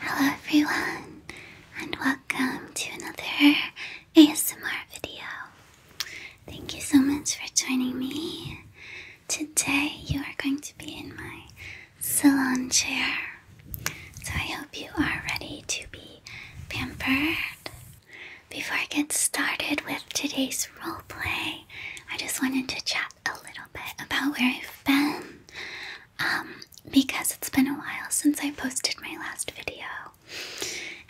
Hello everyone and welcome to another ASMR video. Thank you so much for joining me. Today you are going to be in my salon chair. So I hope you are ready to be pampered. Before I get started with today's roleplay, I just wanted to chat a little bit about where I've been um, because it's been a while since I posted my last video.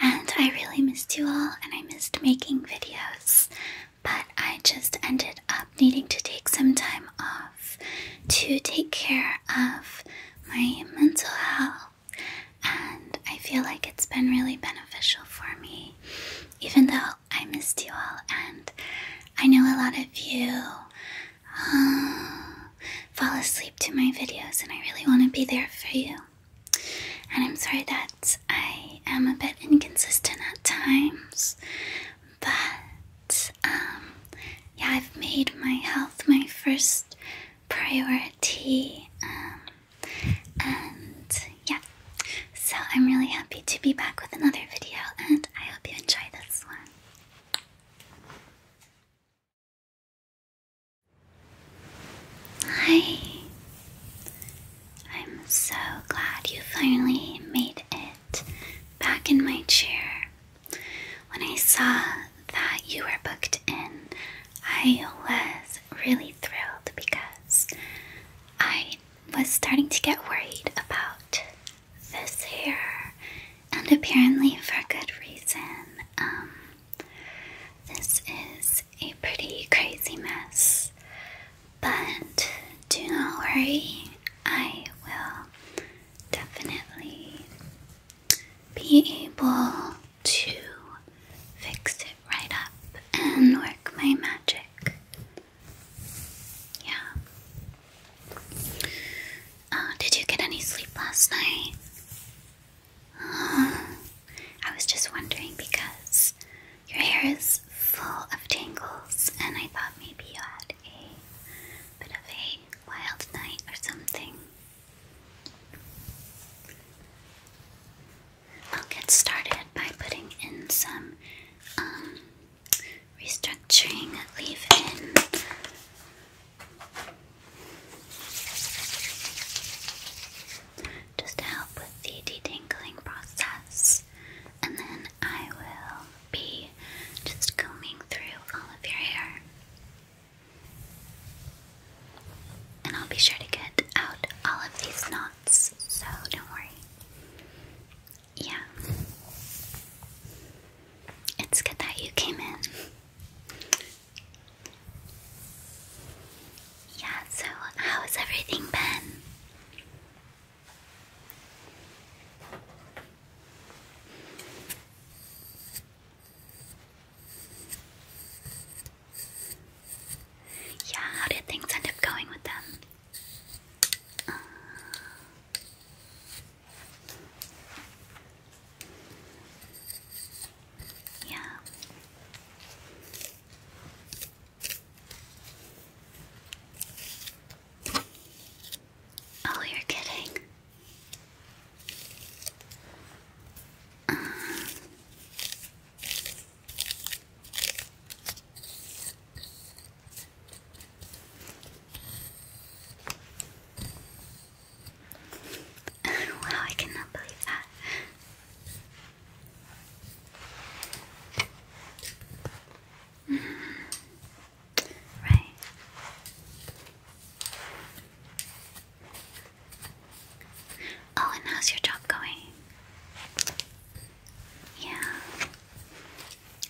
And I really missed you all, and I missed making videos. But I just ended up needing to take some time off to take care of my mental health. And I feel like it's been really beneficial for me, even though I missed you all. And I know a lot of you fall asleep to my videos, and I really want to be there for you. And I'm sorry that I am a bit inconsistent at times, but um, yeah, I've made my health my first priority. Um, and yeah, so I'm really happy to be back with another video, and I hope you enjoy this one. Hi. I'm so glad you finally made it back in my chair. When I saw that you were booked in, I was really thrilled because I was starting to get worried about this hair, and apparently for good reason. Um, this is a pretty crazy mess, but do not worry, I will definitely be able to fix it right up and work my magic. Yeah. Uh, did you get any sleep last night? I was just wondering because your hair is full of tangles, and I thought maybe you had a bit of a wild night or something. I'll get started by putting in some um, restructuring leave in. Just to help with the detangling process, and then I will be just combing through all of your hair. And I'll be sure to get out all of these knots, so don't worry. Yeah. It's good that you came in. Yeah, so how's everything been? Yeah, how did things end up going with them? Uh, yeah. Oh, you're kidding. Uh. wow, I cannot believe that. Mm-hmm. Right. Oh, and how's your job going? Yeah.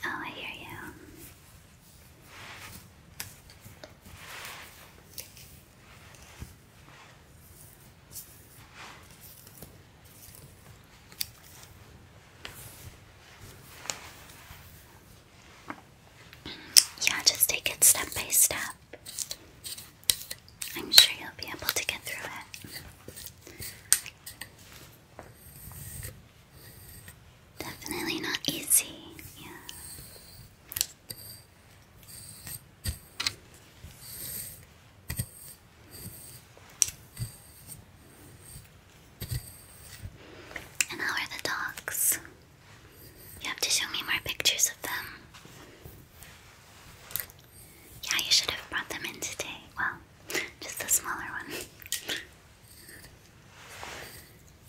Oh, I hear you. Yeah, just take it step by step. I'm sure you'll be able to get through it. Definitely not easy, yeah. how are the dogs? You have to show me more pictures of them. Yeah, you should have brought them in today. Well, just the smaller one.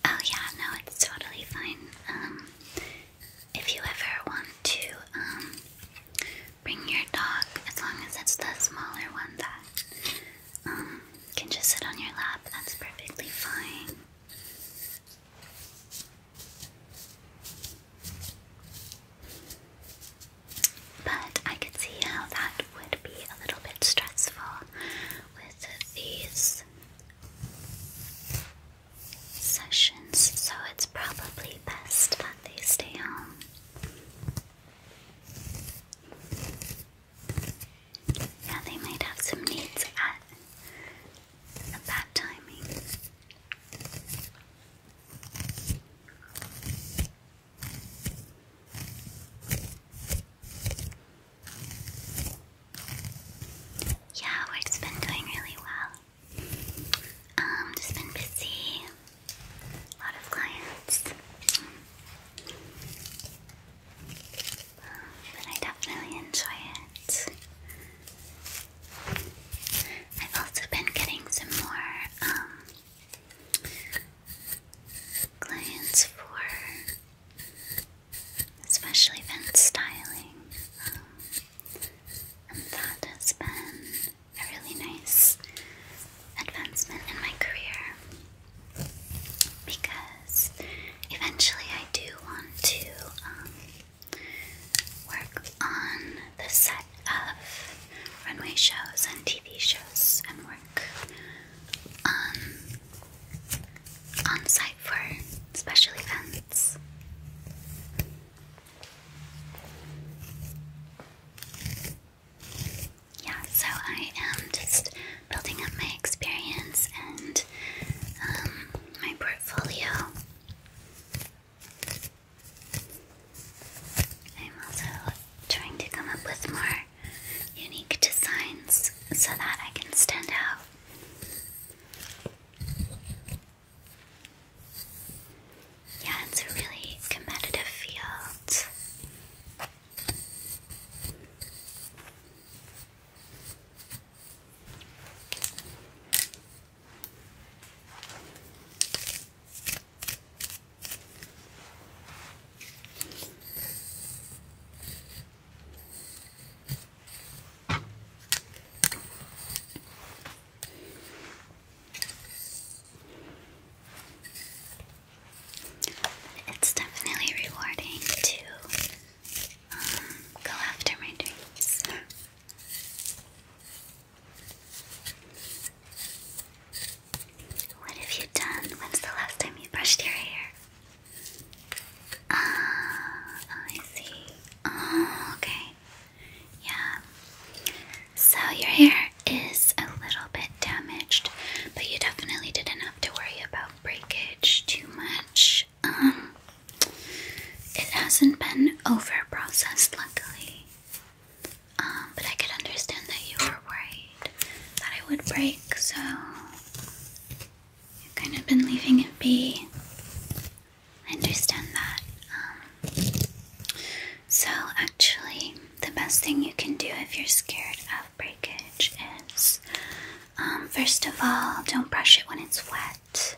Oh yeah, no, it's totally fine. Um, if you ever want to um, bring your dog, as long as it's the smaller one that um, can just sit on your lap, that's perfectly fine. But I can see how that would be a little bit stressful with these sessions, so it's probably best that they stay home. Yeah, they might have some needs at that timing. Yeah, work's been doing really well. Um, just been busy. A lot of clients. but I definitely enjoy it. I've also been getting some more um clients for especially event styling. Um, and that has been a really nice advancement in my career because eventually I do want to um, work on the set of runway shows and TV shows and work on site for special events. Yeah, so I am just building up my experience and um, my portfolio. I'm also trying to come up with more unique designs so that I can stand out. Yeah, it's a really competitive field. It's definitely rewarding to um, go after my dreams. What have you done? When's the last time you brushed your hair? Ah, I see. Ah, okay. Yeah. So your hair is a little bit damaged, but you definitely didn't have to worry about breakage too much. Um, it hasn't been over processed, luckily. Um, but I could understand that you were worried that it would break, so you've kind of been leaving it be. I understand that. Um, so, actually, the best thing you can do if you're scared of breakage is um, first of all, don't brush it when it's wet.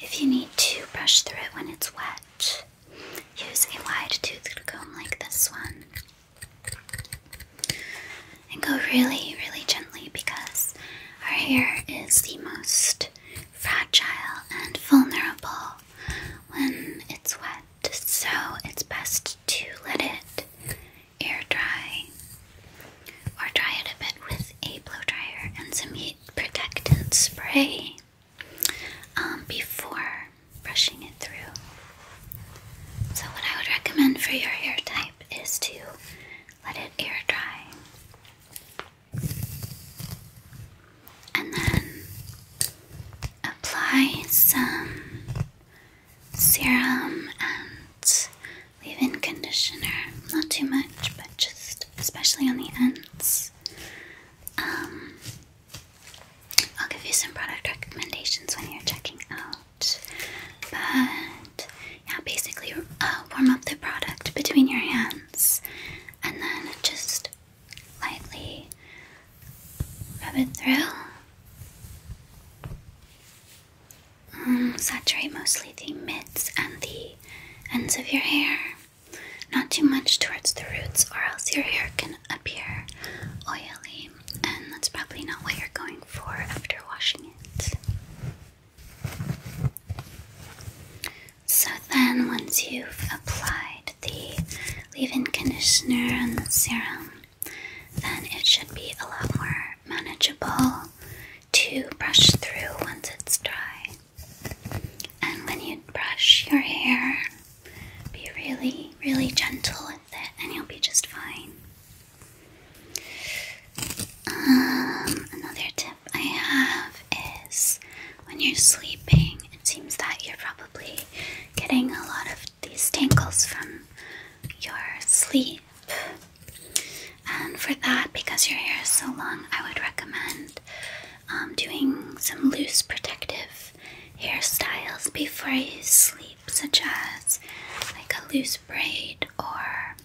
If you need to, brush through it when it's wet. Use a wide toothed comb like this one. And go really, really gently because our hair is the most fragile and vulnerable when it's wet, so it's best to let it air dry or dry it a bit with a blow dryer and some heat protectant spray. Um, before brushing it through. So, what I would recommend for your hair type is to let it air dry and then apply some serum and leave in conditioner. Not too much, but just especially on the ends. Um, I'll give you some product recommendations when you're checking out. But yeah, basically uh, warm up the product between your hands and then just lightly rub it through. Mm, saturate mostly the mids and the ends of your hair. Not too much towards the roots, or else your hair can can appear oily, and that's probably not what you're going for after washing it. So, then once you've applied the leave in conditioner and the serum, then it should be a lot more manageable to brush through once it's dry. And when you brush your hair, be really, really gentle with it, and you'll be just fine. Um, another tip I have is when you're sleeping, it seems that you're probably getting a lot of these tangles from your sleep. And for that, because your hair is so long, I would recommend um, doing some loose protective hairstyles before you sleep, such as like a loose braid, or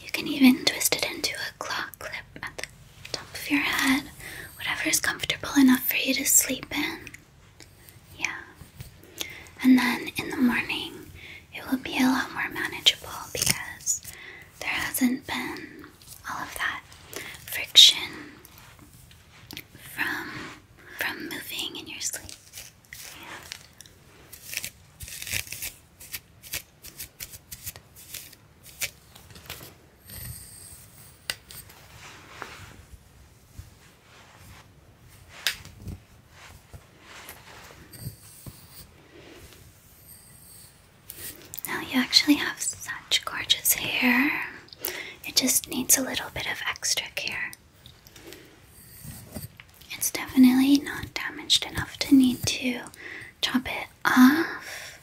you can even twist it into a claw clip at the top of your head, whatever is comfortable enough for you to sleep in. Yeah. And then in the morning, it will be a lot more manageable because there hasn't been all of that friction from from moving in your sleep. Yeah. Now you actually have such gorgeous hair. It just needs a little bit of extra care. It's definitely not damaged enough to need to chop it off.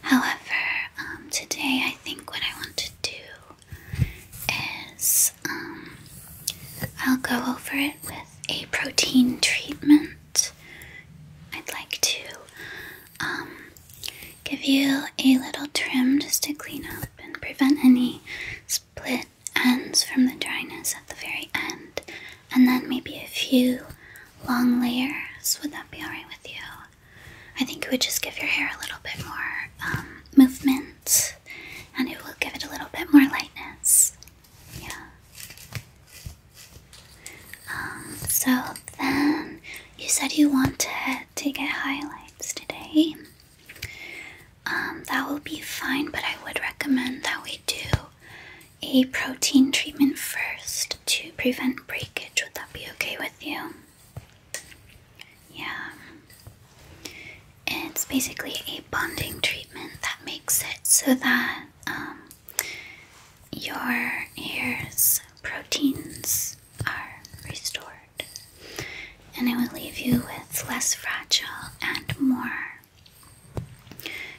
However, um, today I think what I want to do is um, I'll go over it with a protein treatment. I'd like to um, give you a little trim just to clean up and prevent any split ends from the dryness at the very end. And then maybe a few long layers. Would that be alright with you? I think it would just give your hair a little bit more um, movement and it will give it a little bit more lightness. Yeah. Um, so then you said you wanted to get highlights today. Um, that will be fine, but I would recommend that we do a protein treatment first to prevent breakage. Would that be okay with you? Yeah. It's basically a bonding treatment that makes it so that um, your hair's proteins are restored. And I will leave you with less fragile and more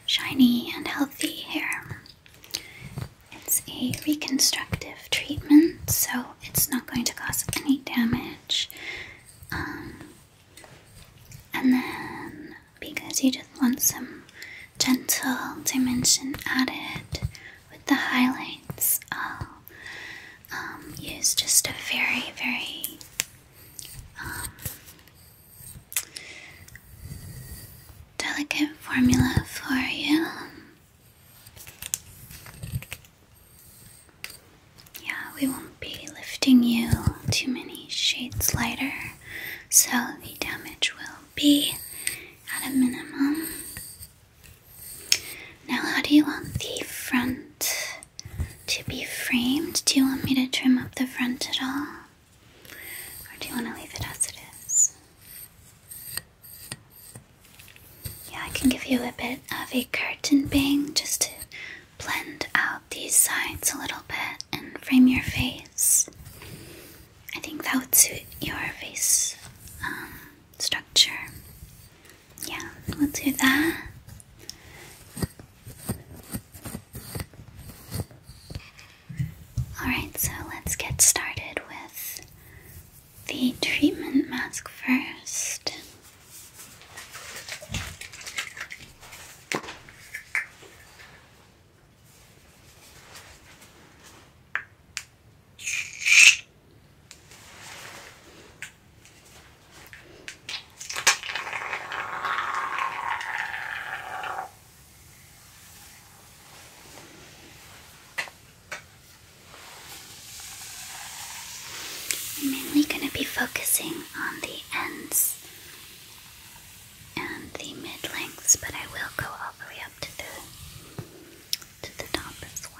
shiny and healthy hair. It's a reconstructive treatment, so it's not going to cause any damage. Um, and then, because you just want some gentle dimension added, with the highlights, I'll um, um, use just a very, very um, delicate formula for you. Yeah, we won't be lifting you too many shades lighter, so the damage will be at a minimum. Now, how do you want the front to be framed? Do you want me to trim up the front at all? Or do you want to leave it as it is? Yeah, I can give you a bit of a curtain bang just to blend out these sides a little bit and frame your face. I think that would suit your face. Um, structure. Yeah, we'll do that. Alright, so let's get started with the treatment mask first. I'm mainly going to be focusing on the ends and the mid lengths, but I will go all the way up to the to the top as well.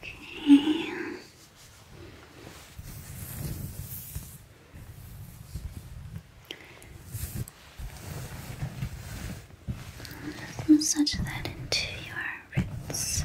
Okay. let massage that into your roots.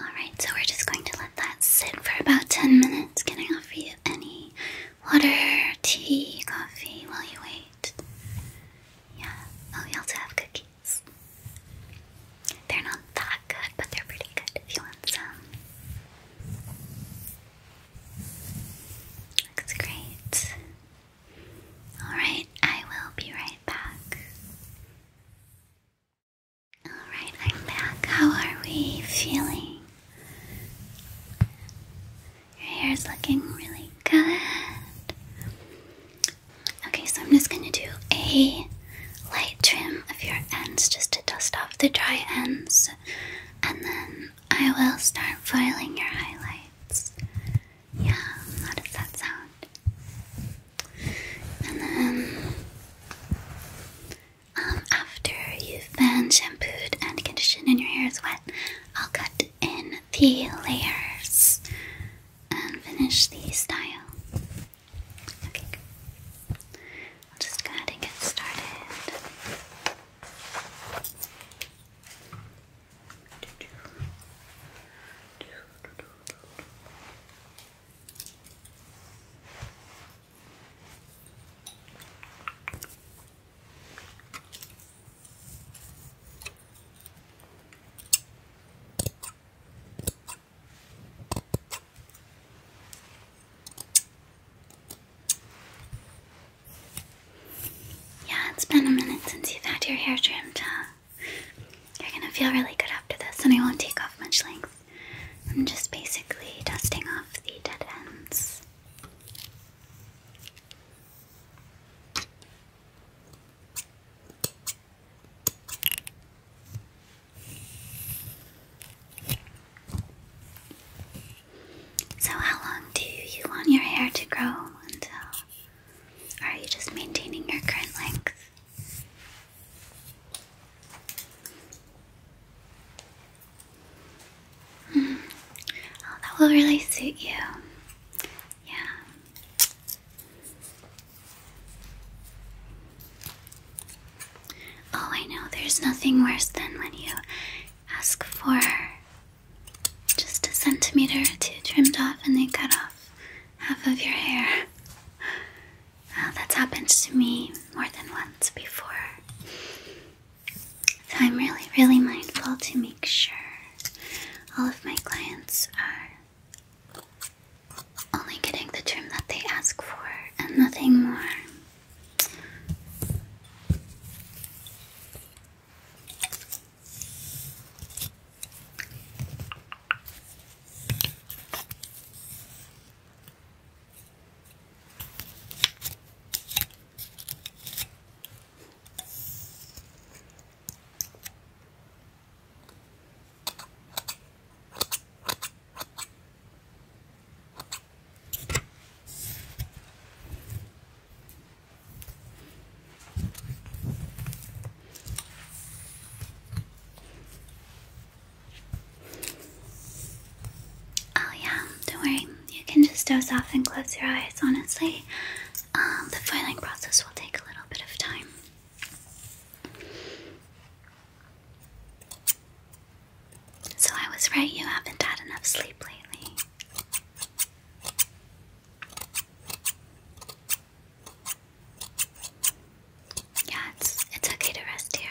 Alright, so we're just going to let that sit for about 10 minutes. Can I offer you any water, tea, coffee while you wait? Yeah. Oh, we also have cookies. They're not that good, but they're pretty good if you want some. Looks great. Alright, I will be right back. Alright, I'm back. How are we feeling? Your hair's looking really good. Okay, so I'm just gonna do a light trim of your ends just to dust off the dry ends, and then I will start foiling your highlights. Yeah, how does that sound? And then, um, after you've been shampooed and conditioned and your hair is wet, I'll cut in the layers and finish the style. Okay, I'll just go ahead and get started. Okay. Yeah, it's been a minute since you've had your hair trimmed, huh? You're gonna feel really good after this, and I won't take off much length. I'm just basically dusting off the dead ends. So, how long do you want your hair to grow until? Are you just maintaining your current length? Hmm. Oh, that will really suit you. Yeah. Oh, I know, there's nothing worse than when you ask for just a centimeter or two trimmed off and they cut off half of your hair. that's happened to me more than once before. So I'm really, really mindful to make sure all of my clients are only getting the term that they ask for and nothing more. Oh yeah, don't worry. You can just doze off and close your eyes. Honestly, um, the filing process will take a little bit of time. So I was right, you haven't had enough sleep lately. Yeah, it's it's okay to rest here.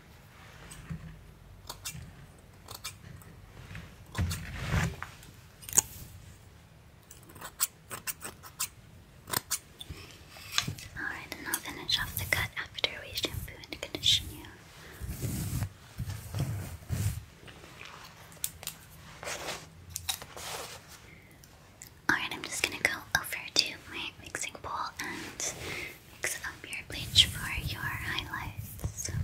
Alright, and I'll finish off the cut after we shampoo and condition you. Alright, I'm just gonna go over to my mixing bowl and mix up your bleach for your highlights. I'll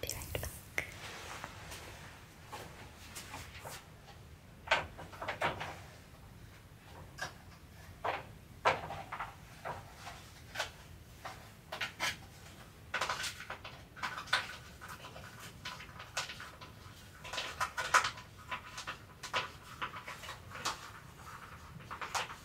be right back.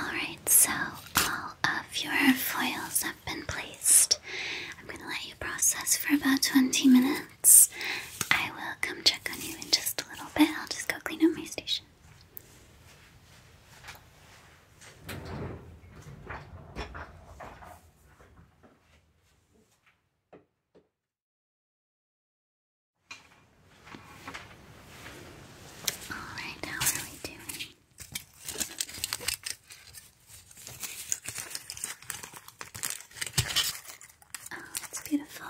Alright, so all of your foils have been placed. I'm going to let you process for about 20 minutes. I will come check on you in just a little bit. I'll just go clean up my station. Alright, how are we doing? Oh, beautiful.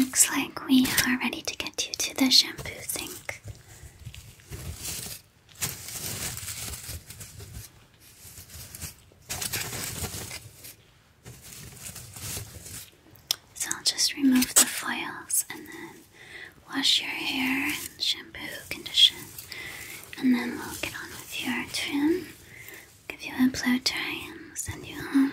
looks like we are ready to get you to the shampoo sink. So I'll just remove the foils and then wash your hair and shampoo, condition, and then we'll get on with your trim. Give you a blow dry and send you home.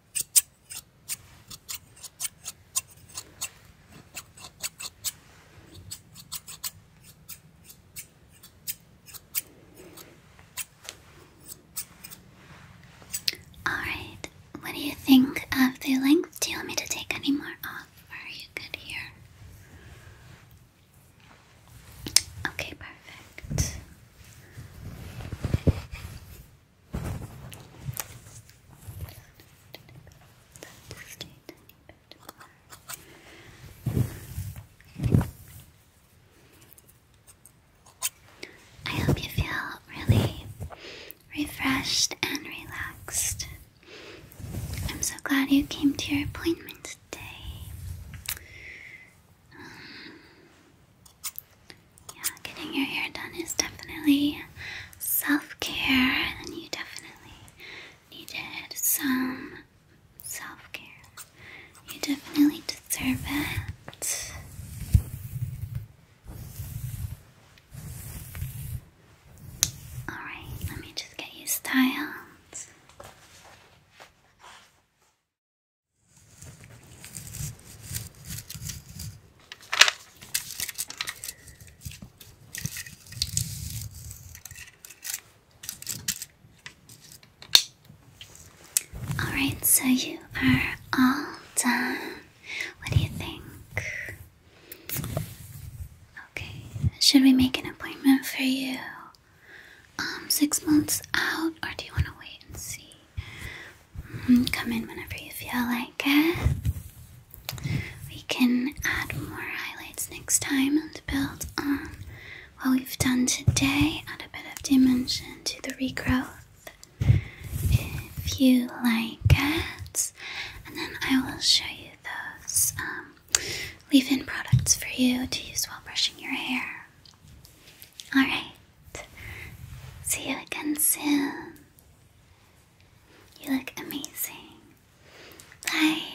Alright, what do you think of the length? Do you want me to take any more off, are you good here? Okay, perfect. I hope you feel really refreshed and relaxed. I'm so glad you came to your appointment today. Um, yeah, getting your hair done is definitely self care, and you definitely needed some self care. You definitely deserve it. Alright, let me just get you styled. Alright, so you are all done. What do you think? Okay, should we make an appointment for you um, six months out, or do you want to wait and see? Mm, come in whenever you feel like it. We can add more highlights next time and build on what we've done today, add a bit of dimension to the regrowth if you like it. And then I will show you those um, leave in products for you to use while brushing your hair. Alright. See you again soon. You look amazing. Bye.